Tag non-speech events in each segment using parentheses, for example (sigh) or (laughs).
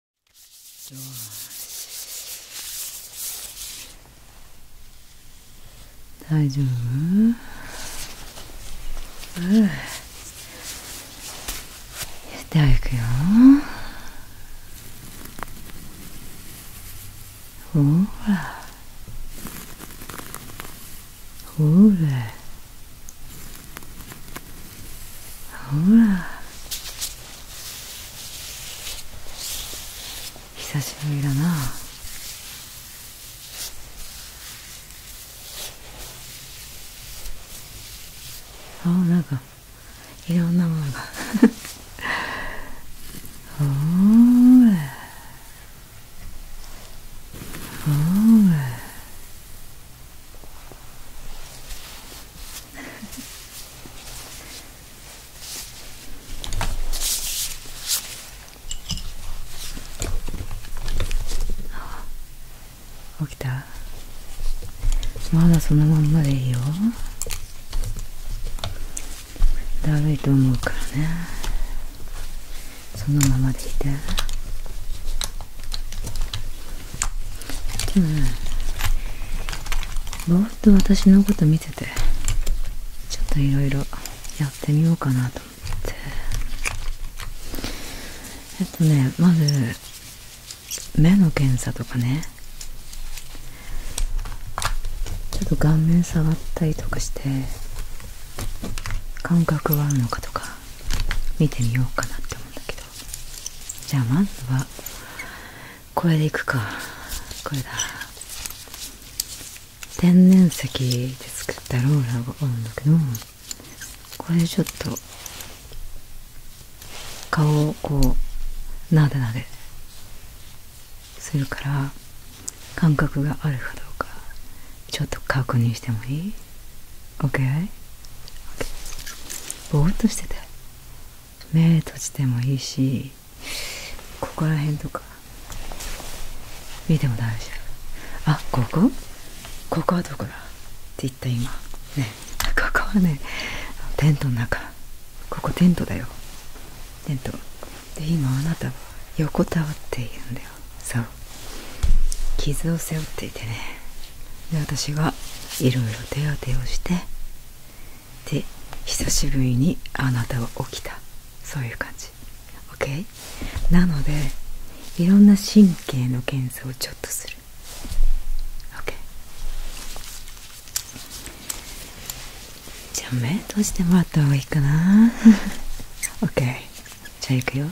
よし大丈夫うんでは行くよほらほらほら久しぶりだなあなんかいろんなものがほらほらあ起きたまだそのまんまでいいよだると思うからねそのままでいて。でもぼーっと私のこと見ててちょっといろいろやってみようかなと思ってえっとねまず目の検査とかねちょっと顔面触ったりとかして感覚はあるのかとか見てみようかなって思うんだけどじゃあまずはこれでいくかこれだ天然石で作ったローラーがあるんだけどこれでちょっと顔をこうなでなでするから感覚があるかどうかちょっと確認してもいい ?OK? ぼーっとしてて目閉じてもいいしここら辺とか見ても大丈夫あここここはどこだって言った今ねここはねテントの中ここテントだよテントで今あなたは横たわっているんだよそう傷を背負っていてねで私がいろいろ手当てをしてで久しぶりにあなたは起きたそういう感じオッケー。なのでいろんな神経の検査をちょっとする OK じゃあ目閉じてもらった方がいいかなオッケー。(laughs) じゃあいくよ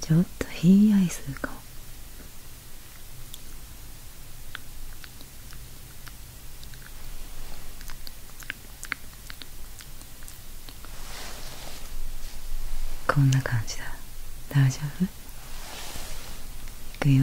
ちょっとひんやりするかもこんな感じだ大丈夫いくよ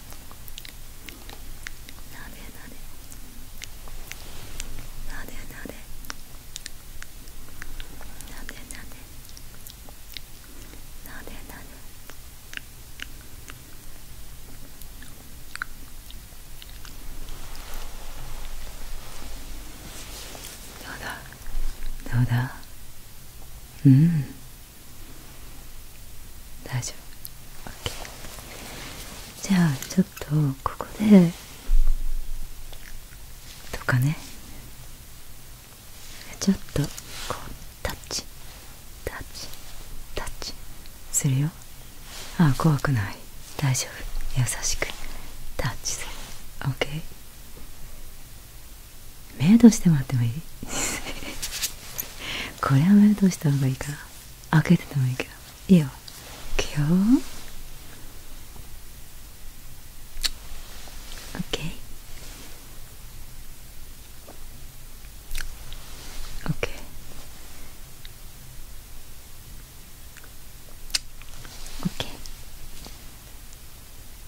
なうだどうだうん大丈夫 OK じゃあちょっとここでとかねちょっとこうタッチタッチタッチするよああ怖くない大丈夫優しくタッチする OK メイドしてもらってもいい (laughs) これはメイドした方がいいかな開けててもいいけどいいよいくよ OK OK オッケー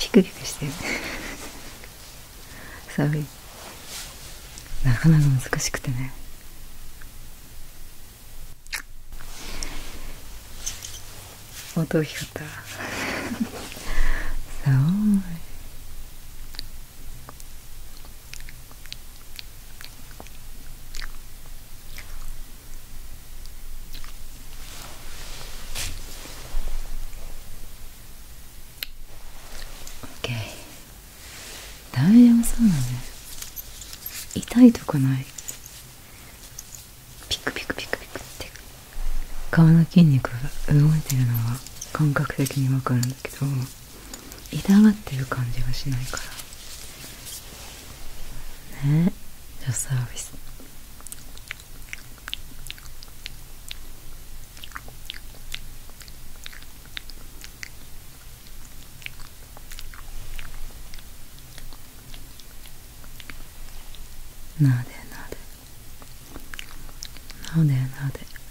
ピクピクしてる寒いなかなか難しくてね音大きかった寒い (laughs) OK 大丈痛いとこないピクピクピクピクって顔の筋肉が動いてるのは感覚的に分かるんだけど痛がってる感じがしないからねじゃサービスなでなでなでなで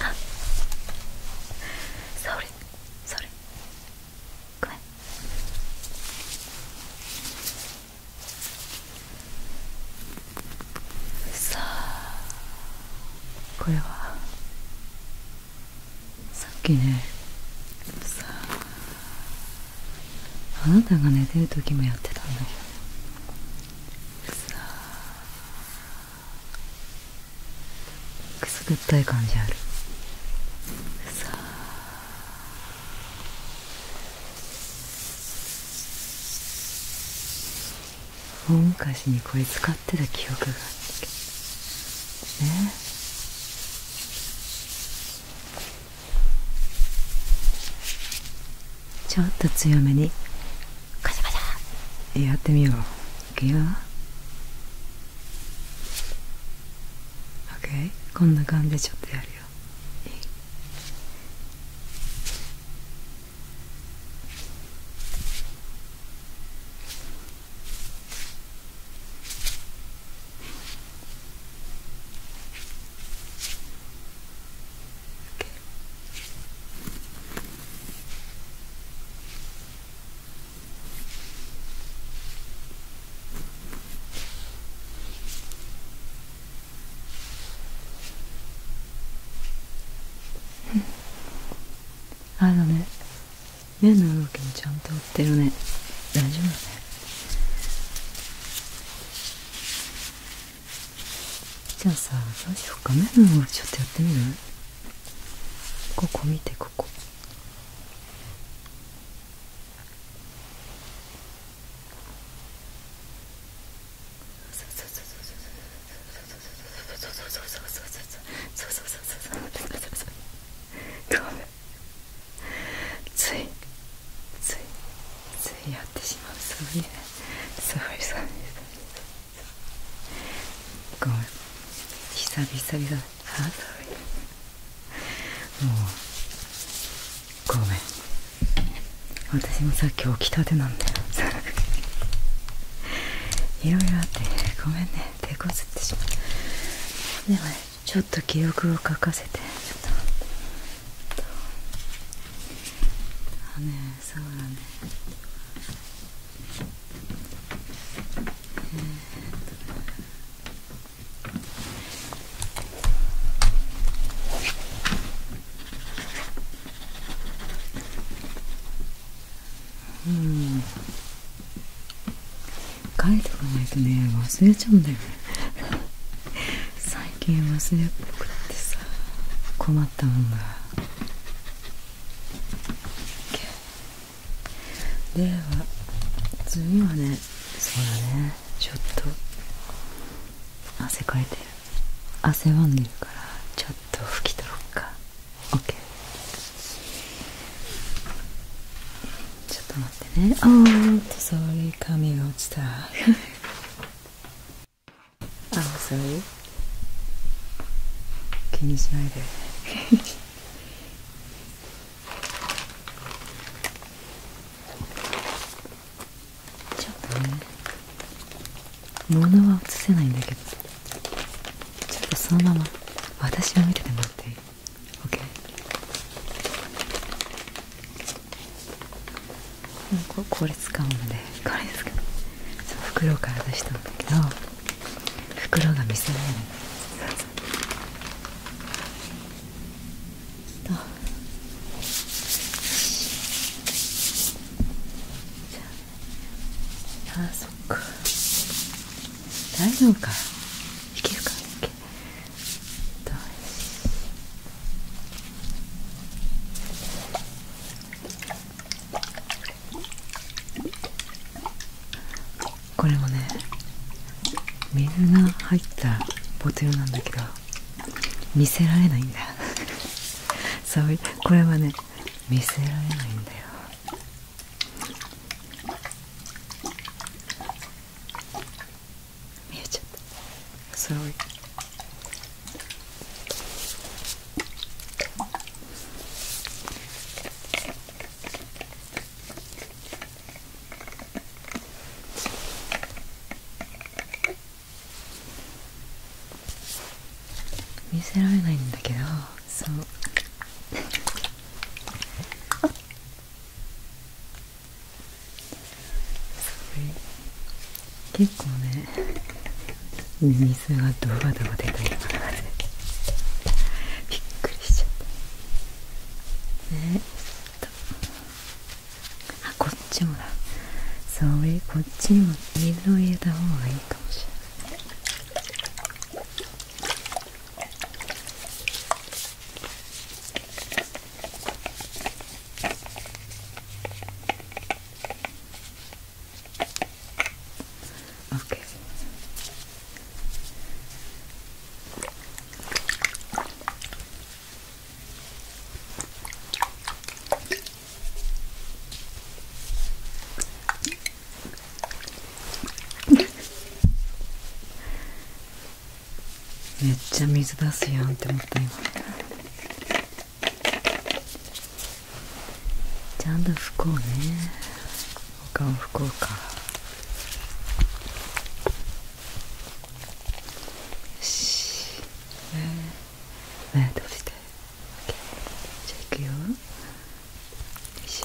あそれそれごめんさあこれはさっきねさああなたが寝てる時もやってたんだけどさあくすぐったい感じあるさあ大昔にこれ使ってた記憶があったけどねちょっと強めにカやってみよういくよ OK こんな感じでちょっとやるよあのね目の動きもちゃんと追ってるね大丈夫ねじゃあさどうしようか目のちょっとやってみるここ見てここごめん。ついついついやってしまうそうねすごいうでごめん久々に。々あもうごめん私もさっき起きたてなんだよいろいろあってごめんね手こずってしまうでもねちょっと記憶を書かせてちょねそうだねえ。うん書いておかないとね忘れちゃうんだよね最近忘れっぽくってさ困ったもんだでは次はねそうだねちょっと汗かいてる汗ばんでるからちょっと拭き取ろうか OK ちょっと待ってねあーっとそれ髪が落ちた (laughs) あそう気にしないでちょっとね物は映せないんだけどちょっとそのまま私を見ててもらっていい OK これ。使うのでこれですけその袋から出したんだけど袋が見せられないとああそっか大丈夫かいけるかいけどこれもね水が入ったボトルなんだけど見せられないんだよ。(laughs) ういこれはね見せられないんだよ見えちゃったそう見せられないんだけどそうそうい結構ね水がドバドバ出たりとびっくりしちゃったねえあこっちもだそれこっちも水を入れた方がいいかもしれないあオッケー。めっちゃ水出すやんって思った今。ちゃんと拭こうねお顔拭こうかよしえ目閉じて OK じゃあいくよよいしょ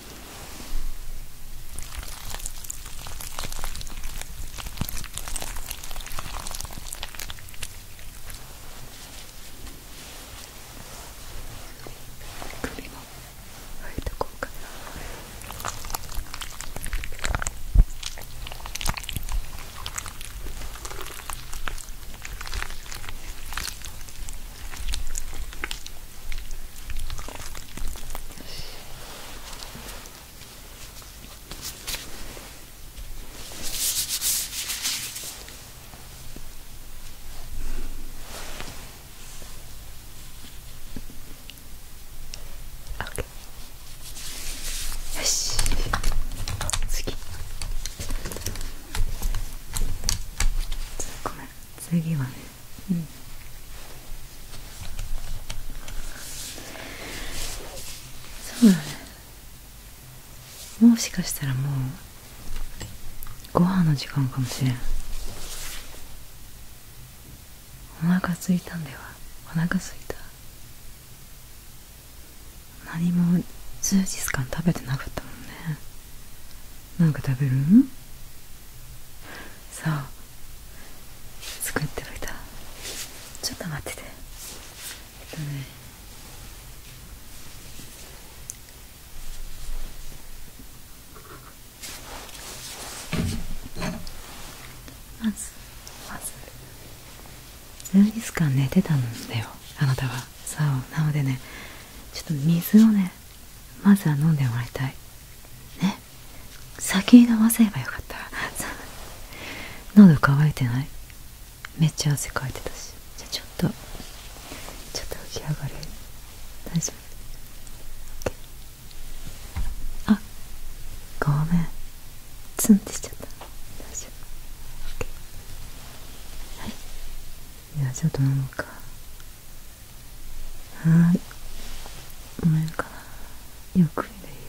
首もあえてこうかなよし次ごめ次はね、うん、そうだねもしかしたらもうご飯の時間かもしれんお腹すいたんだよお腹すいた何も数日間食べてなかったもんねなんか食べるそう作っておいたちょっと待っててえっとねまずま日間寝てたんだよあなたはそうなのでねちょっと水をねまずは飲んでもらいたいね先に飲ませればよかった (laughs) 喉乾いてないめっちゃ汗かいてたしじゃあちょっとちょっと浮き上がる大丈夫、OK、あごめんツンってしちゃった大丈夫、OK、はいじゃちょっと飲むかはい飲めるかなゆっくりでいいよ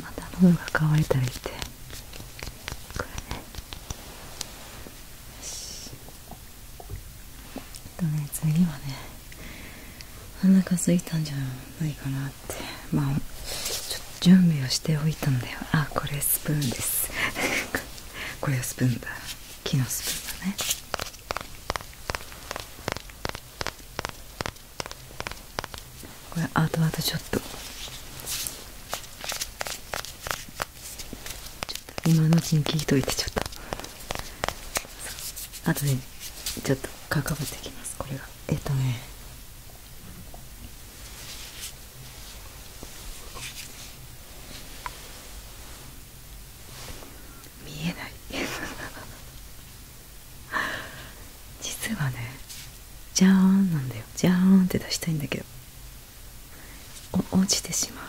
また喉が乾いたりしてこれねよしえっとね次はねお腹空すいたんじゃないかなってまあちょっと準備をしておいたんだよあこれスプーンです (laughs) これはスプーンだ木のスプーンだねこれあとあとちょっと今のうちに聞いといてちょっとあとでちょっと関わってきますこれがえっとね見えない実はねジャーンなんだよジャーンって出したいんだけど落ちてしまう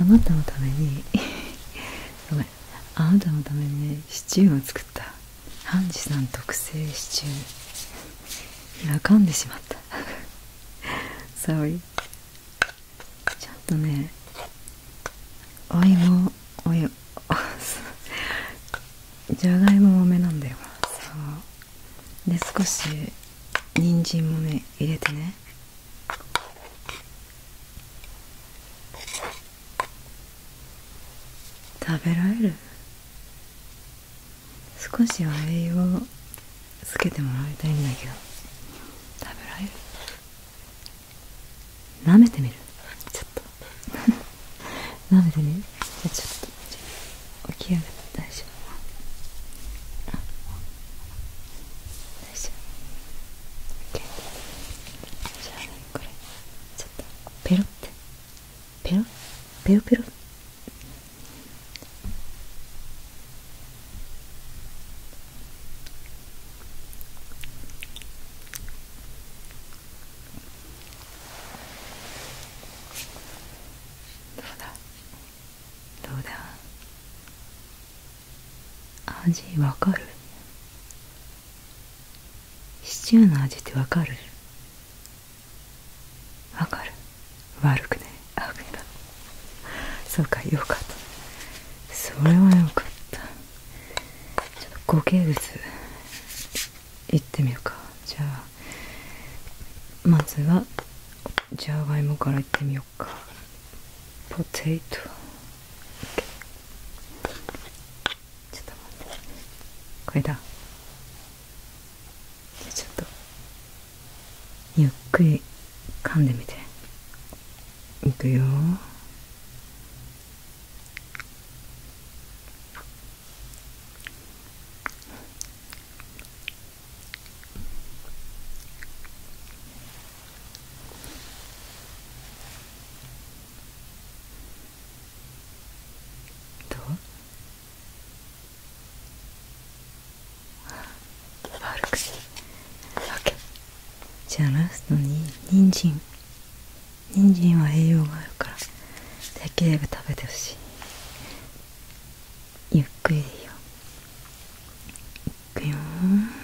あなたのために (laughs) ごめんあなたのためにシチューを作ったハンジさん特製シチューかんでしまった s o ちゃんとねお芋およじゃがいも多めなんだよそうで少し人参もね入れてね食べられる少しは栄養つけてもらいたいんだけど食べられる舐めてみるちょっと (laughs) 舐めてみるじゃあ、ちょっと起き上がって大丈夫大丈夫 OK じゃあねこれちょっとペロってペロペロペロどうだどうだ味わかるシチューの味ってわかるわかる悪くねあ悪だそうかよかったそれはよかったちょっと固形物行ってみようかじゃあまずはジャガイモからいってみようかポテトちょっと待ってこれだちょっとゆっくり噛んでみていくよどう悪くするわけじゃあラストに人参人参は栄養があるからできれば食べてほしいゆっくりいいよいくよー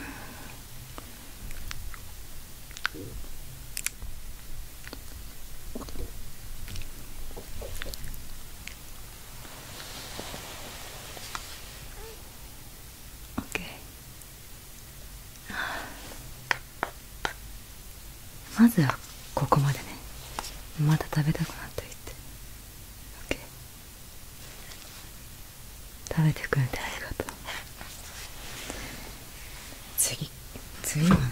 まずはここまでねまた食べたくなっていて OK 食べてくれてありがとう次次はね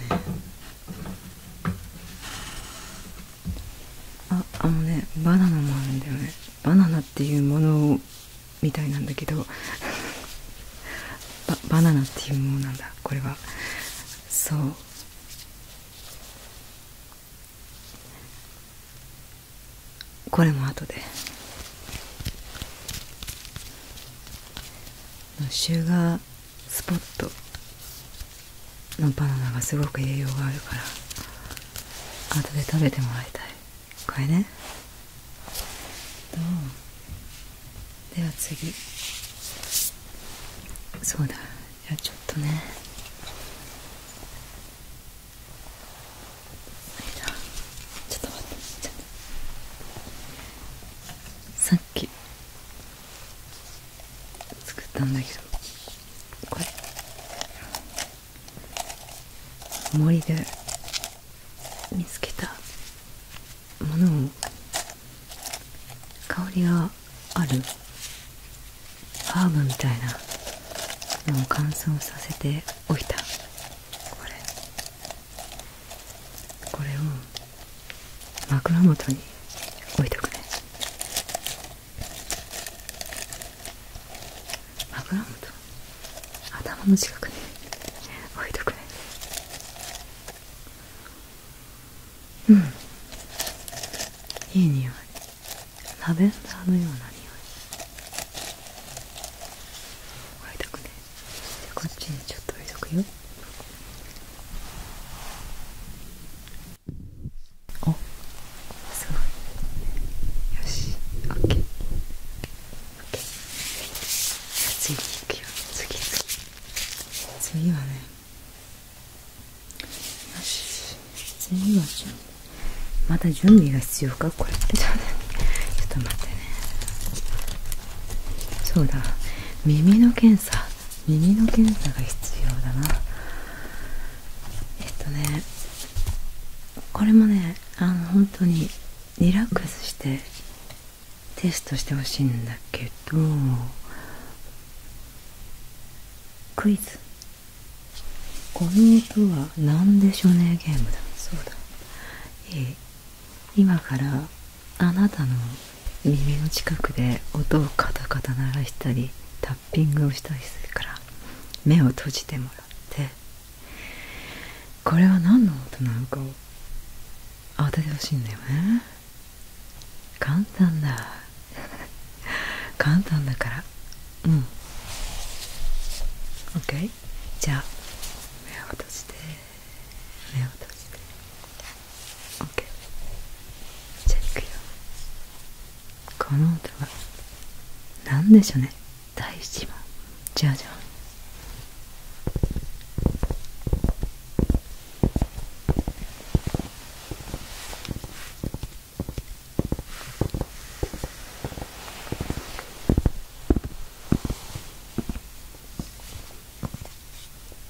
ああのねバナナもあるんだよねバナナっていうものみたいなんだけど (laughs) ババナナっていうものなんだこれはそうこれも後でシュガースポットのバナナがすごく栄養があるから後で食べてもらいたいこれねどうでは次そうだいやちょっとねちょっと待ってちょっと。さっき作ったんだけどこれ森で見つけたものを香りがあるハーブみたいなのを乾燥させておいたこれこれを枕元に置いとくね枕元頭の近くに置いとくねうんいい匂いラベンダーのような匂い置いとくねこっちにちょっと置いとくよおすごよし OK 次に行くよ次次はねよし次はじゃまた準備が必要かこれ (laughs) ちょっと待ってねそうだ耳の検査耳の検査が必要だなえっとねこれもねあの本当にリラックスしてテストしてほしいんだけどクイズこの音は何でしょうねゲームだそうだえ今からあなたの耳の近くで音をカタカタ鳴らしたりタッピングをしたりするから目を閉じてもらってこれは何の音なのかを当ててほしいんだよね簡単だ (laughs) 簡単だからうん OK じゃあ目を閉じて目を閉じて OK じゃあいくよこの音は何でしょうね第1問じゃあじゃあ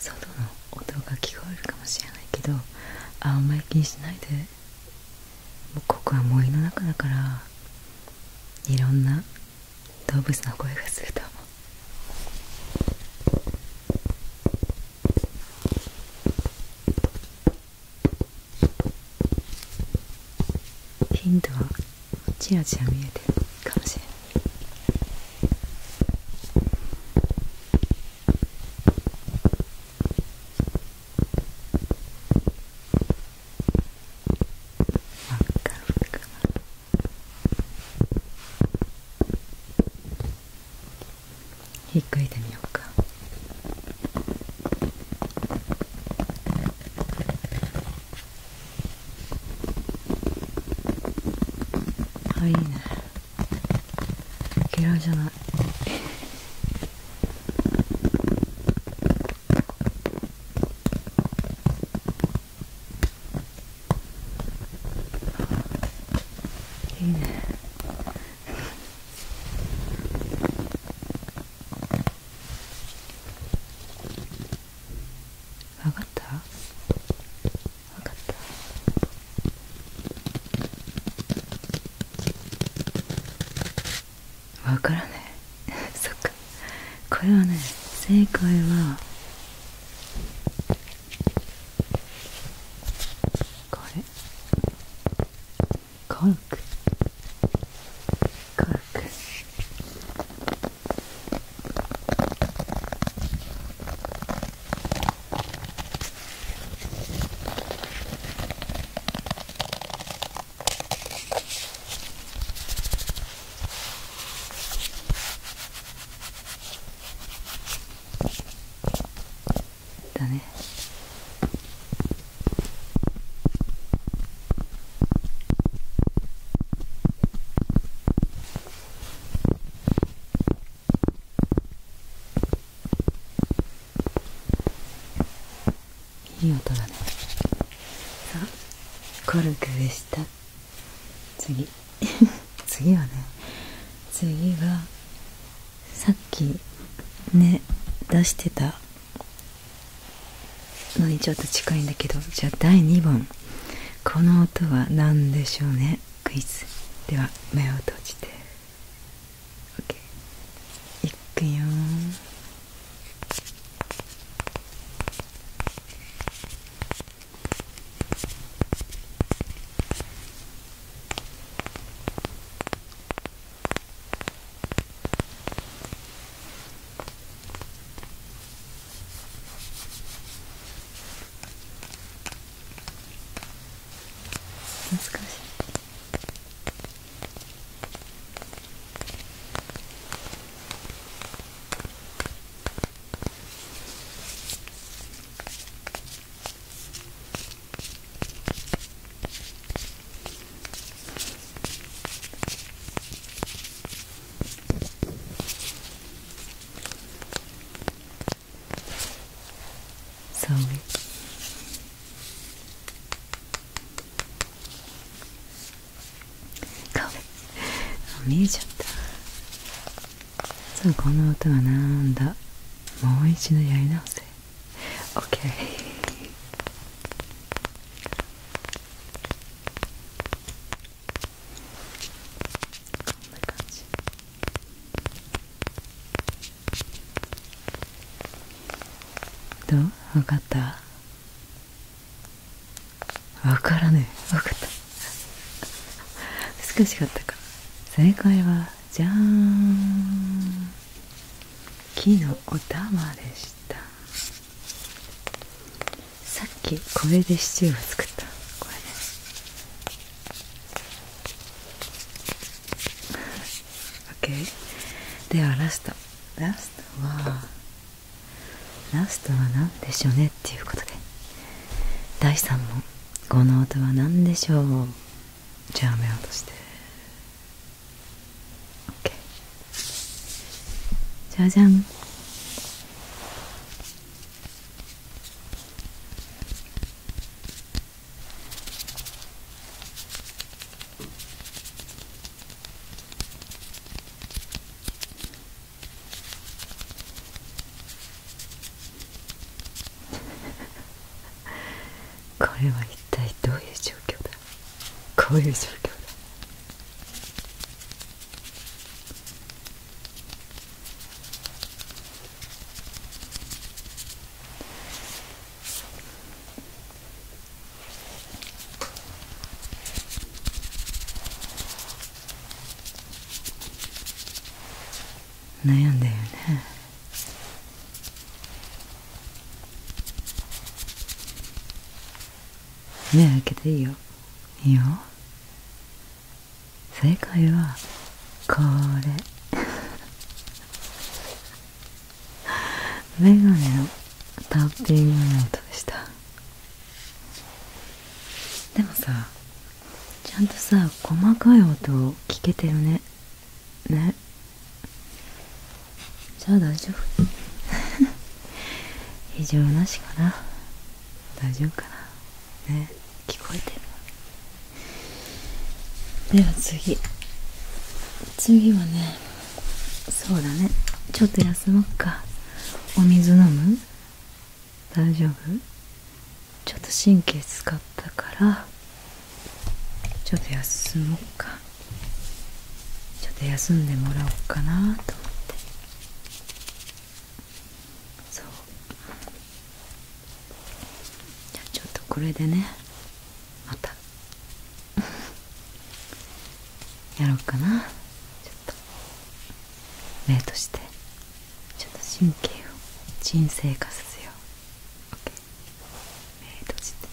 外の音が聞こえるかもしれないけどあんまり気にしないでもうここは森の中だからいろんな動物の声がすると思うヒントはチラチラ見えてるかもしれないひっくいてみようか。あいいね。嫌いじゃないいいね分かった分かった分からない (laughs) そっかこれはね正解はこれコルクコルクだねいい音だねコルクでした次 (laughs) 次はね次はさっきね出してたのにちょっと近いんだけどじゃあ第2問この音は何でしょうねクイズでは目を閉じて OK いくよ難しいそう。か r y Go. 見えちゃった。そうこの音はなんだ。もう一度やり直せ。OK。こんな感じどう分かった分からねえ分かった難しかったか正解はじゃーん木のお玉でしたさっきこれでシチューを作ったこれで OK ではラストラストはラストは何でしょうねっていうことで第3問この音は何でしょうじゃあ目を閉じて OK じゃじゃんこれは一体どういう状況だこういう状況だ悩んだよね目開けていいよいいよ正解はこれ (laughs) メガネのタッピングの音でしたでもさちゃんとさ細かい音を聞けてるねねじゃあ大丈夫異常 (laughs) なしかな大丈夫かなね聞こえてるでは次次はねそうだねちょっと休もっかお水飲む大丈夫ちょっと神経使ったからちょっと休もうかちょっと休んでもらおうかなと思ってそうじゃあちょっとこれでねまた (laughs) やろうかなちょっと目としてちょっと神経を沈静化させよう OK 目閉じてね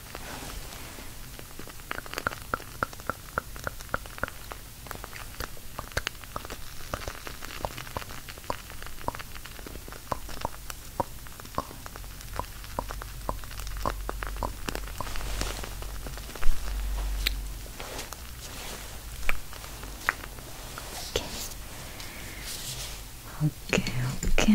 オッケーオッケー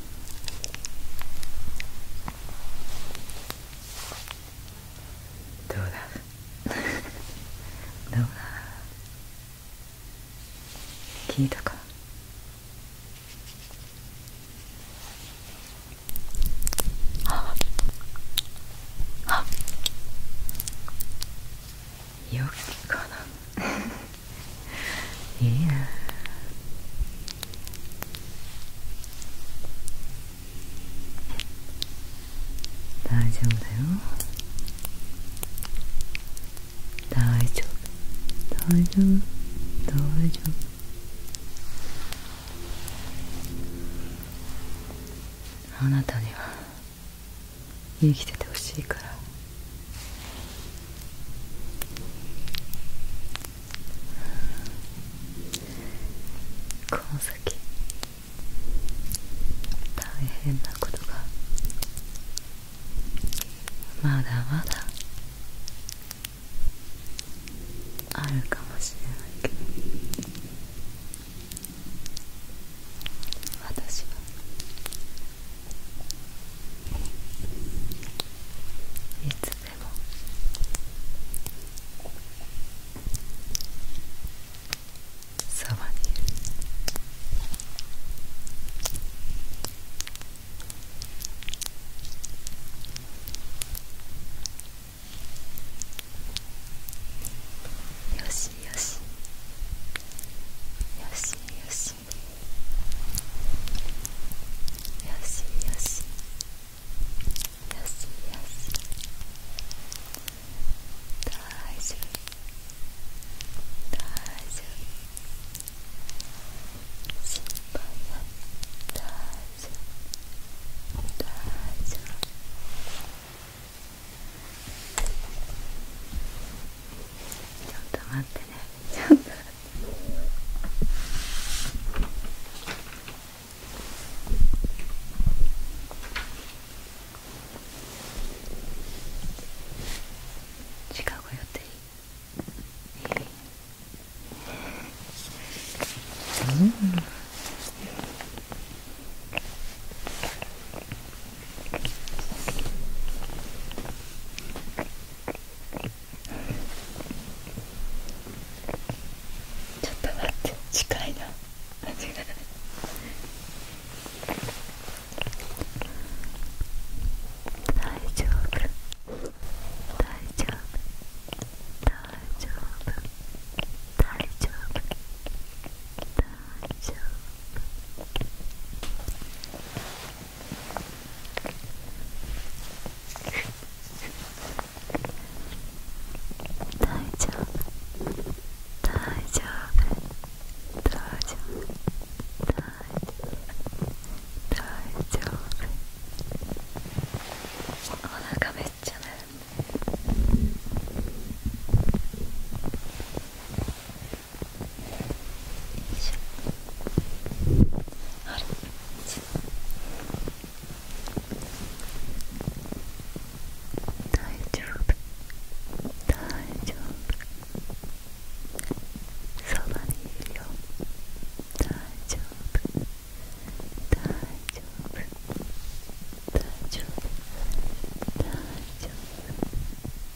どうだ (laughs) どうだ聞いたかああよきかないいな大丈夫だよ大丈夫大丈夫大丈夫あなたには生きててほしいからこの先大変なことがまだまだあるかもしれないけど私はいつでもそばにいるよしよしよしよしよしよしよしよし大丈夫大丈夫心配は大丈夫大丈夫ちょっと待ってねちょっと近ご予定うんちょっと待って近いな味が大丈夫大丈夫大丈夫大丈夫大丈夫大丈夫大丈夫大丈夫大大丈夫お腹めっちゃ鳴るあれ大丈夫大丈夫そばにいるよ大丈夫大丈夫大丈夫大丈夫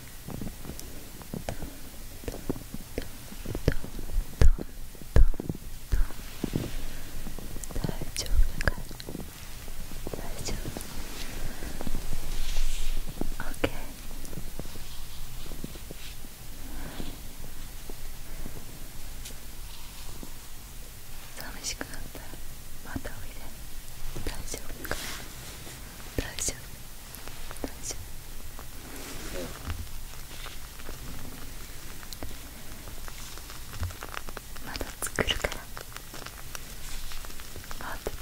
大丈夫か大丈夫 OK 寂しくなったらまたおいで大丈夫か o 大丈夫大丈夫、うまだ作るから待ってて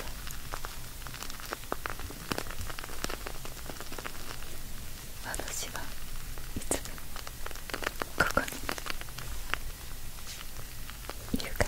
私はいつもここにいるから。